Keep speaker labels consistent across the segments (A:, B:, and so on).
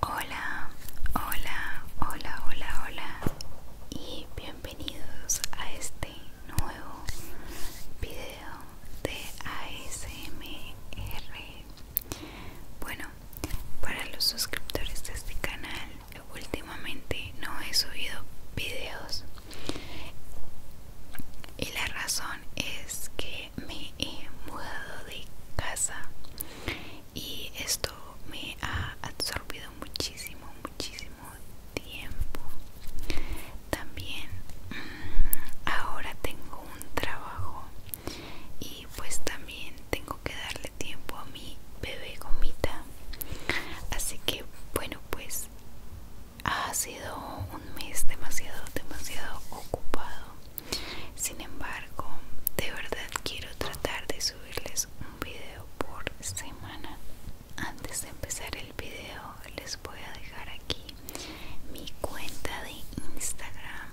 A: Hola, hola, hola, hola, hola y bienvenidos a este nuevo video de ASMR. Bueno, para los suscriptores de este canal, últimamente no he subido videos y la razón es que me he mudado de casa y esto me ha absorbido muchísimo, muchísimo tiempo. También mm, ahora tengo un trabajo y pues también tengo que darle tiempo a mi bebé gomita. Así que bueno pues ha sido un mes demasiado, demasiado ocupado. Sin embargo, de verdad quiero tratar de subirles un video por semana. Antes de empezar el video, les voy a dejar aquí mi cuenta de Instagram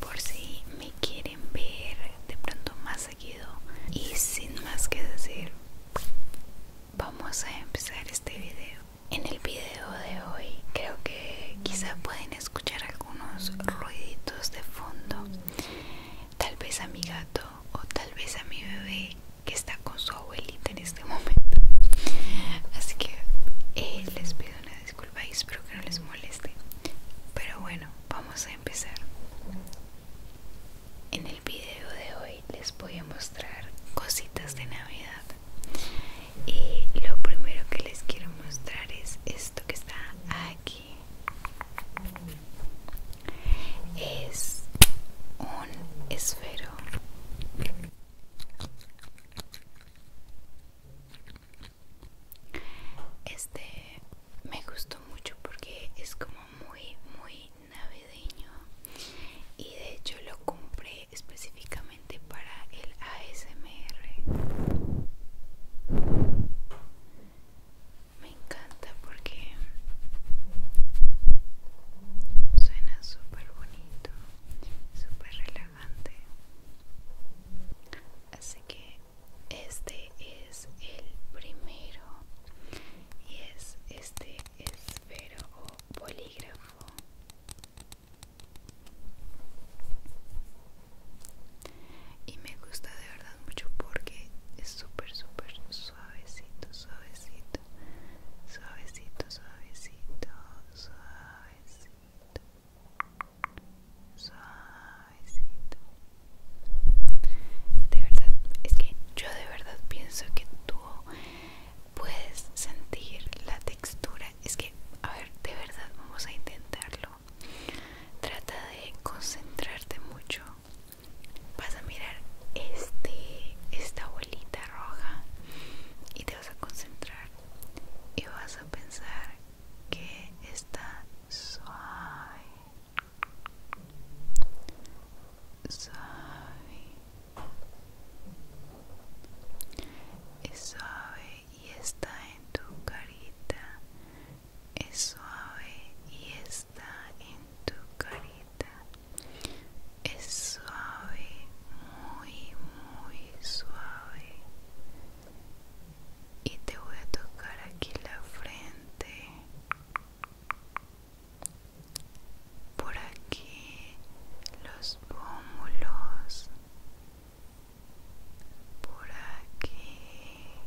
A: por si me quieren ver de pronto más seguido. Y sin más que decir, vamos a empezar este video. En el video de hoy creo que quizá pueden escuchar algunos ruiditos de fondo, tal vez a mi gato o tal vez a mi bebé que está con su abuelita en este momento. Así que eh, les pido una disculpa y espero que no les moleste. Pero bueno, vamos a empezar. En el video de hoy les voy a mostrar cositas de Navidad y eh, lo primero que les quiero mostrar es esto que está aquí es un esfero este me gustó mucho porque es como muy muy navideño y de hecho lo compré específicamente para el ASMR. Me encanta porque suena súper bonito, súper relajante. Así que este es el primero y es este esfero o polígrafo y me gusta de verdad mucho porque es súper súper suavecito suavecito suavecito suavecito suavecito suavecito de verdad es que yo de verdad pienso que tú puedes sentir la textura es que, a ver, de verdad vamos a intentarlo. Trata de concentrarte mucho. Vas a mirar este, esta bolita roja y te vas a concentrar y vas a pensar que está suave, suave, es suave y está en tu carita, es suave y está en tu carita, es suave, muy, muy suave. Y te voy a tocar aquí la frente, por aquí los pómulos por aquí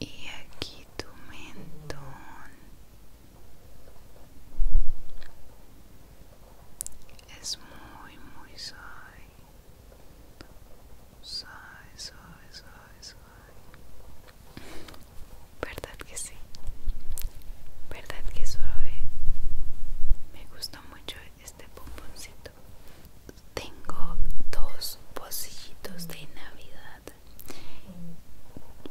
A: y aquí tu mentón es muy muy suave suave suave suave suave ¿Verdad que sí? ¿Verdad que suave? Me gustó mucho este pomponcito. Tengo dos pocillitos de Navidad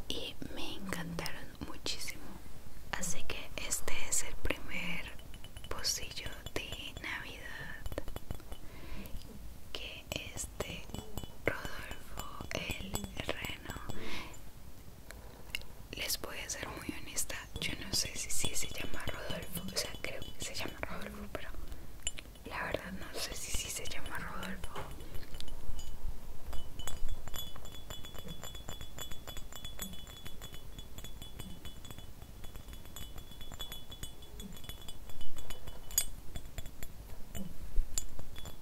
A: y me encantaron muchísimo. Así que este es el primer pocillo de Navidad que es de Rodolfo el Reno les voy a ser muy honesta, yo no sé si, si se llama Rodolfo, o sea, creo que se llama Rodolfo, pero la verdad no sé si, si se llama Rodolfo.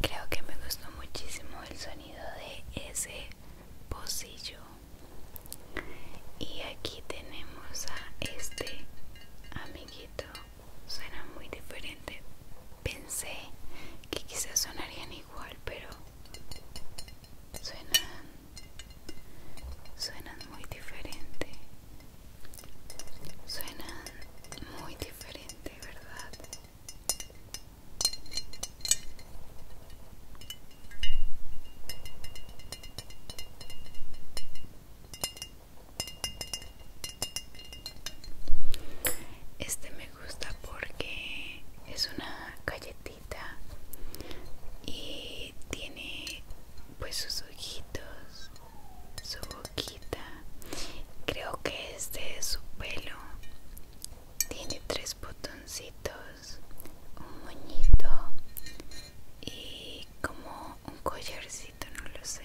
A: Creo que me gustó muchísimo el sonido de ese pocillo. Y aquí tenemos a este amiguito. Suena muy diferente. Pensé que quizás sonarían igual, pero suenan Suenan muy diferente. Suenan muy diferente, ¿verdad? Este me gusta porque es una galletita y tiene pues sus ojitos, su boquita. Creo que este es su pelo. Tiene tres botoncitos, un moñito y como un collarcito, no lo sé.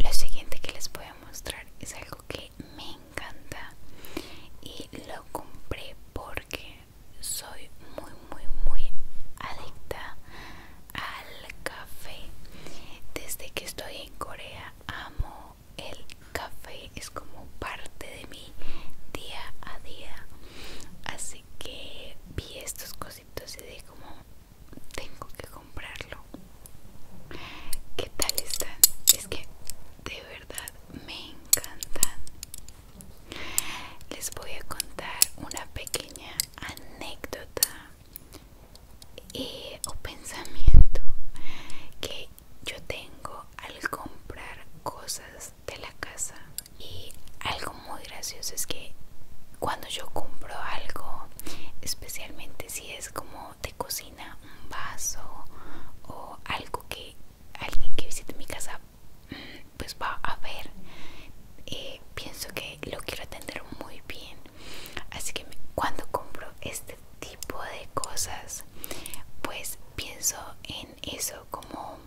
A: Lo siguiente que les voy a mostrar es algo que me encanta y lo compré porque soy muy muy muy adicta al café. Desde que estoy en Corea amo el café, es como parte de mi día a día. Así que vi estos cositos y de como tengo que comprarlo. ¿Qué tal están? Es que de verdad me encantan. Les voy a contar una pequeña anécdota o pensamiento que yo tengo al comprar cosas de la casa y algo muy gracioso es que cuando yo compro algo especialmente si es como de cocina un vaso o algo que alguien que visite mi casa mm, pues va a ver eh, pienso que lo quiero atender muy bien Así que cuando compro este tipo de cosas, pues pienso en eso como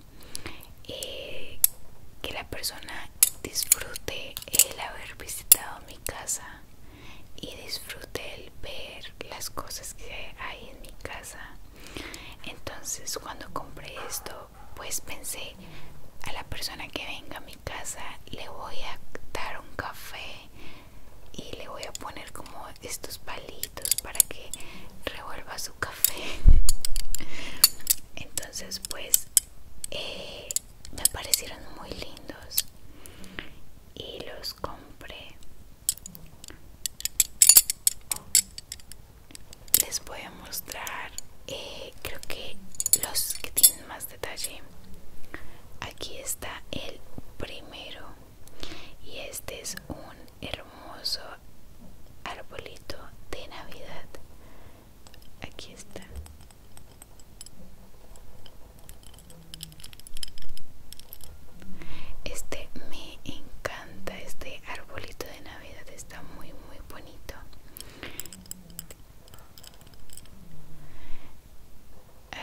A: eh, que la persona disfrute el haber visitado mi casa y disfrute el ver las cosas que hay en mi casa. Entonces cuando compré esto, pues pensé a la persona que venga a mi casa casa le voy a dar un café y le voy a poner como estos palitos para que revuelva su café entonces pues eh, me parecieron muy lindos y los compré les voy a mostrar eh, creo que los que tienen más detalle aquí está el primero y este es un hermoso arbolito de navidad aquí está este me encanta este arbolito de navidad está muy muy bonito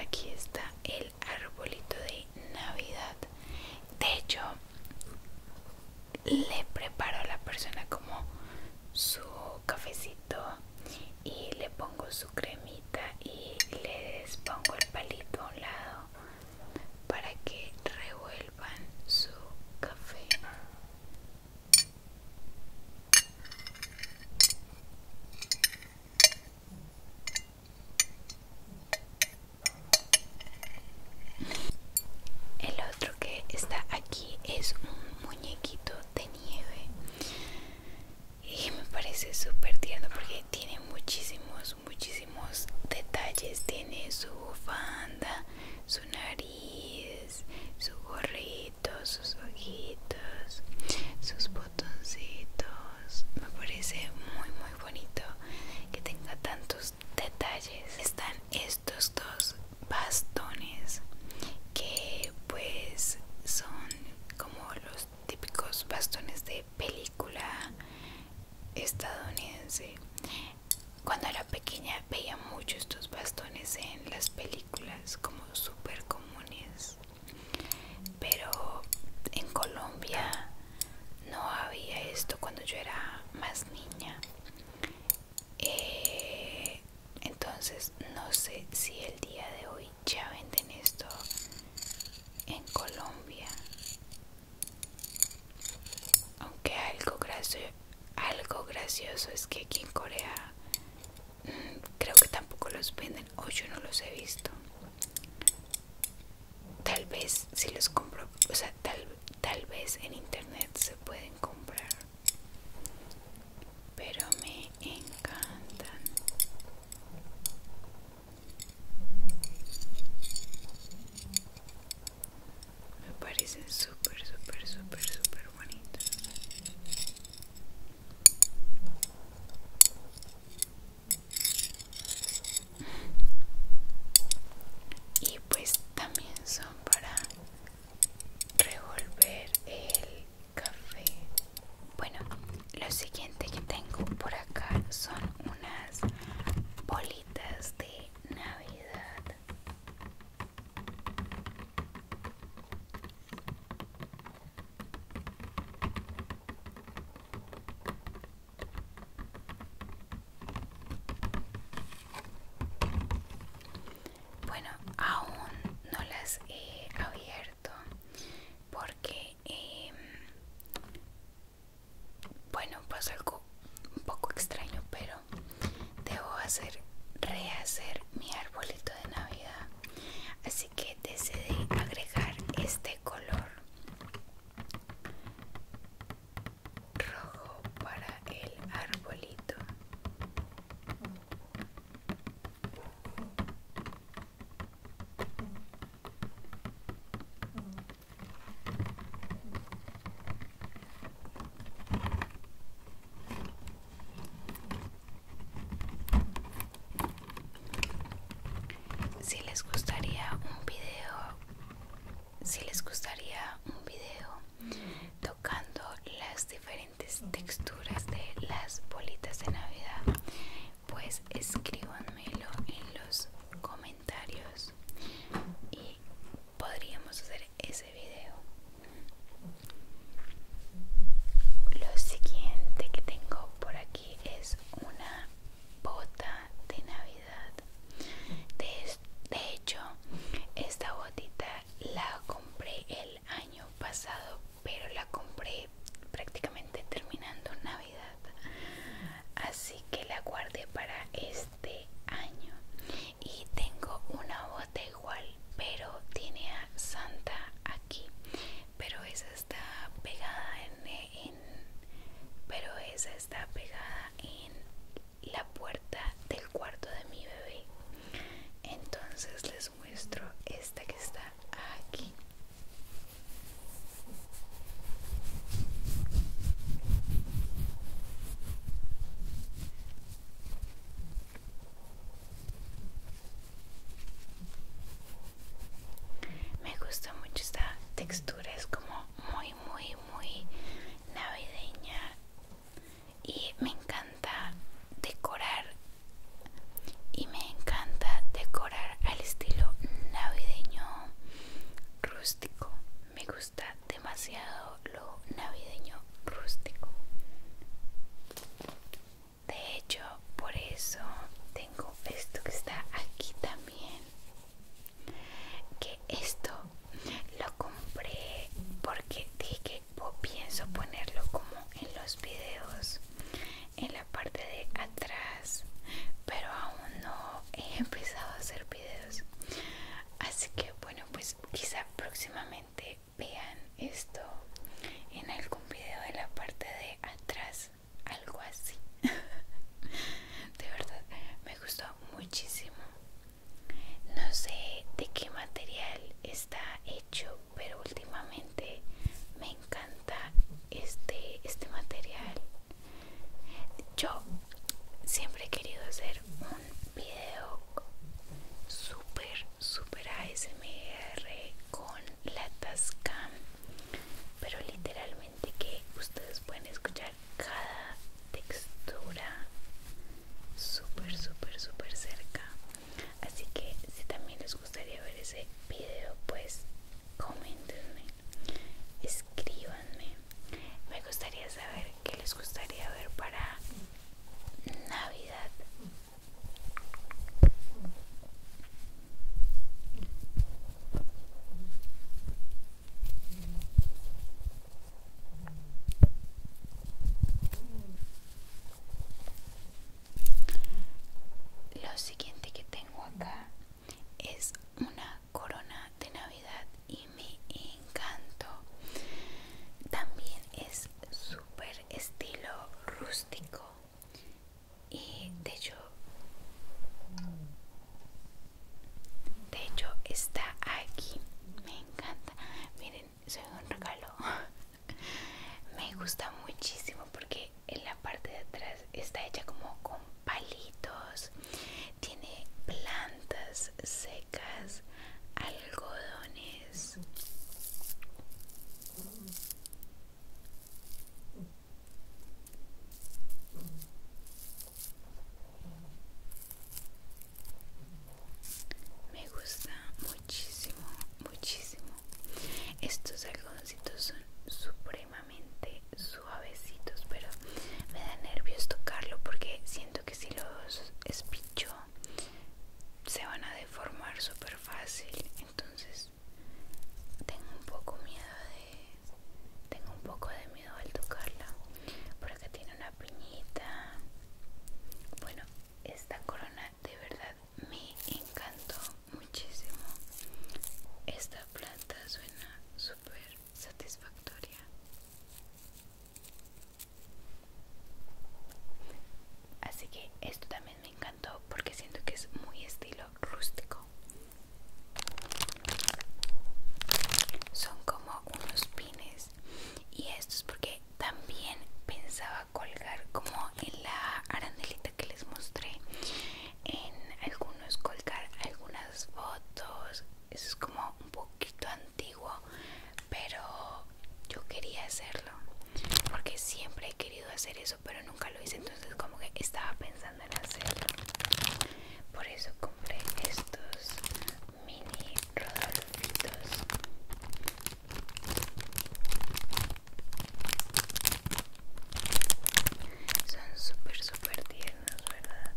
A: Aquí está el arbolito de Navidad. De hecho, le preparo a la persona como su cafecito y le pongo su cremita y le despongo el palito a un lado para que revuelvan su café el otro que está aquí es un muñequito de nieve y me parece súper tierno porque tiene muchísimos, muchísimos detalles. Tiene su bufanda, su nariz, su gorrito sus ojitos, sus botoncitos. Me parece muy muy bonito que tenga tantos detalles. Están estos dos bastones que pues son como los típicos bastones de película estadounidense. Cuando era pequeña veía mucho estos bastones en las películas como súper comunes pero en Colombia no había esto cuando yo era más niña eh, entonces no sé si el día de hoy ya venden esto en Colombia aunque algo gracioso algo gracioso es que aquí en Corea mm, creo que tampoco los venden o yo no los he visto tal vez si los compro o sea tal vez en internet se pueden comprar pero me encantan me parecen súper súper súper súper bonitos y pues también son para revolver el café bueno lo siguiente que tengo por acá son unas bolitas de navidad bueno, aún no las he abierto porque, eh, bueno, pasa algo un poco extraño, pero debo hacer rehacer mi arbolito de navidad así que decidí agregar este color rojo para el arbolito si les gustaría un video, si les gustaría un video tocando las diferentes texturas de las bolitas de Navidad, pues escríbanmelo en los comentarios y podríamos hacer ese video. Lo siguiente que tengo por aquí es una bota de Navidad. De, hecho, esta botita la compré el año pasado, pero la compré prácticamente terminando Navidad. Así que la guardé para este de año y tengo una bota igual pero tiene a Santa aquí pero esa está pegada en, en pero esa está pegada en la puerta del cuarto de mi bebé entonces les muestro esta que está aquí me gusta mucho esta textura, es como muy, muy, muy navideña y me encanta decorar y me encanta decorar al estilo navideño rústico. Me gusta demasiado lo navideño rústico. De hecho, por eso tengo esto que está aquí también. Que esto lo compré porque dije que pienso ponerlo como en los videos en la parte de atrás pero aún no he empezado a hacer videos así que bueno pues pues, quizá próximamente vean esto en algún video de la parte de atrás algo así de verdad me gustó muchísimo no sé de qué material está hecho pero últimamente me encanta este este material yo siempre he querido hacer un video super super ASMR con la Tascam pero literalmente que ustedes pueden escuchar cada textura súper súper súper cerca así que si también les gustaría ver ese video pues comentenme escríbanme me gustaría saber que les gustaría ver para Navidad. Lo siguiente que tengo acá es una corona de navidad y me encantó también es súper estilo rústico y de hecho de hecho está aquí me encanta miren soy un regalo me gusta muchísimo porque en la parte de atrás está hecha como con palitos tiene plantas secas, algodones. Me gusta muchísimo, muchísimo. Estos algodoncitos son supremamente, suavecitos, pero me da nervios tocarlo porque siento que si los espicho se van a deformar súper fácil. Entonces tengo un poco miedo de... Tengo un poco de miedo al tocarla. porque tiene una piñita. Bueno, esta corona de verdad me encantó muchísimo. Esta planta suena súper satisfactoria. Así que esto también me encantó porque siento que es muy estilo rústico. Son como unos pines y esto es porque también pensaba colgar como en la arandelita que les mostré en algunos colgar algunas fotos eso es como un poquito antiguo pero yo quería hacerlo porque siempre he querido hacer eso pero nunca lo hice entonces como que estaba pensando en hacerlo por eso compré estos mini rodolfitos son súper súper tiernos verdad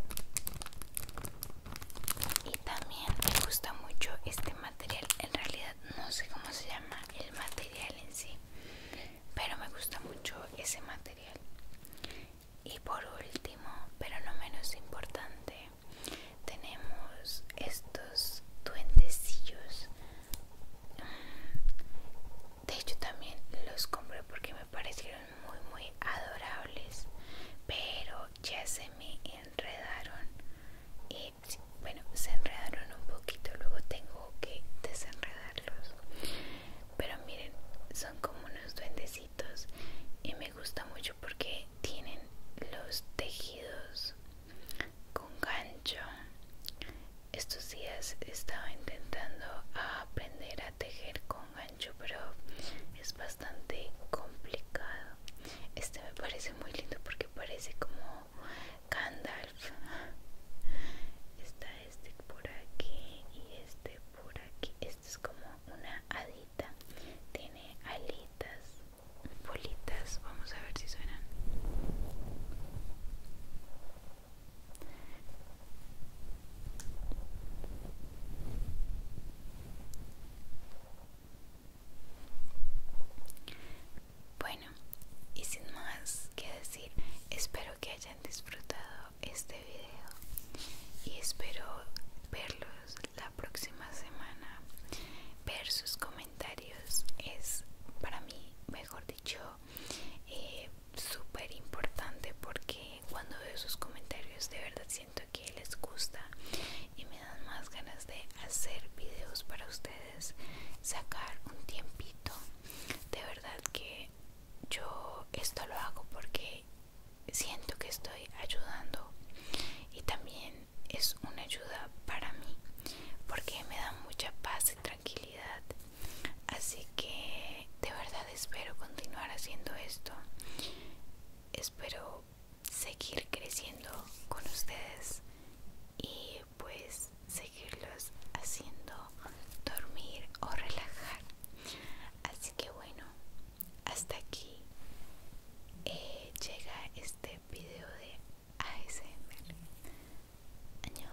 A: y también me gusta mucho este material en realidad no sé cómo se llama el material en sí pero me gusta mucho ese material y por último pero no menos importante tenemos estos duendecillos mm, de hecho también los compré porque me parecieron muy muy adorables pero ya se me enredaron y bueno se enredaron un poquito luego tengo que desenredarlos pero miren son como unos duendecitos y me gusta mucho porque tienen los tejidos con gancho estos días estaba intentando aprender a tejer con gancho pero es bastante complicado este me parece muy lindo porque parece como Gandalf está este por aquí y este por aquí este es como una hadita tiene alitas bolitas vamos a ver si suenan bueno, y sin más que decir, espero que hayan disfrutado este video y espero verlos la próxima semana. Ver sus comentarios es para mí, mejor dicho, eh, súper importante porque cuando veo sus comentarios de verdad siento que les gusta y me dan más ganas de hacer videos para ustedes sacar un tiempito de verdad que yo esto lo hago porque siento que estoy ayudando y también es una ayuda para mí porque me da mucha paz y tranquilidad Así que de verdad espero continuar haciendo esto. Espero seguir creciendo con ustedes y pues seguirlos haciendo dormir o relajar. Así que bueno, hasta aquí eh, llega este video de ASMR. Año.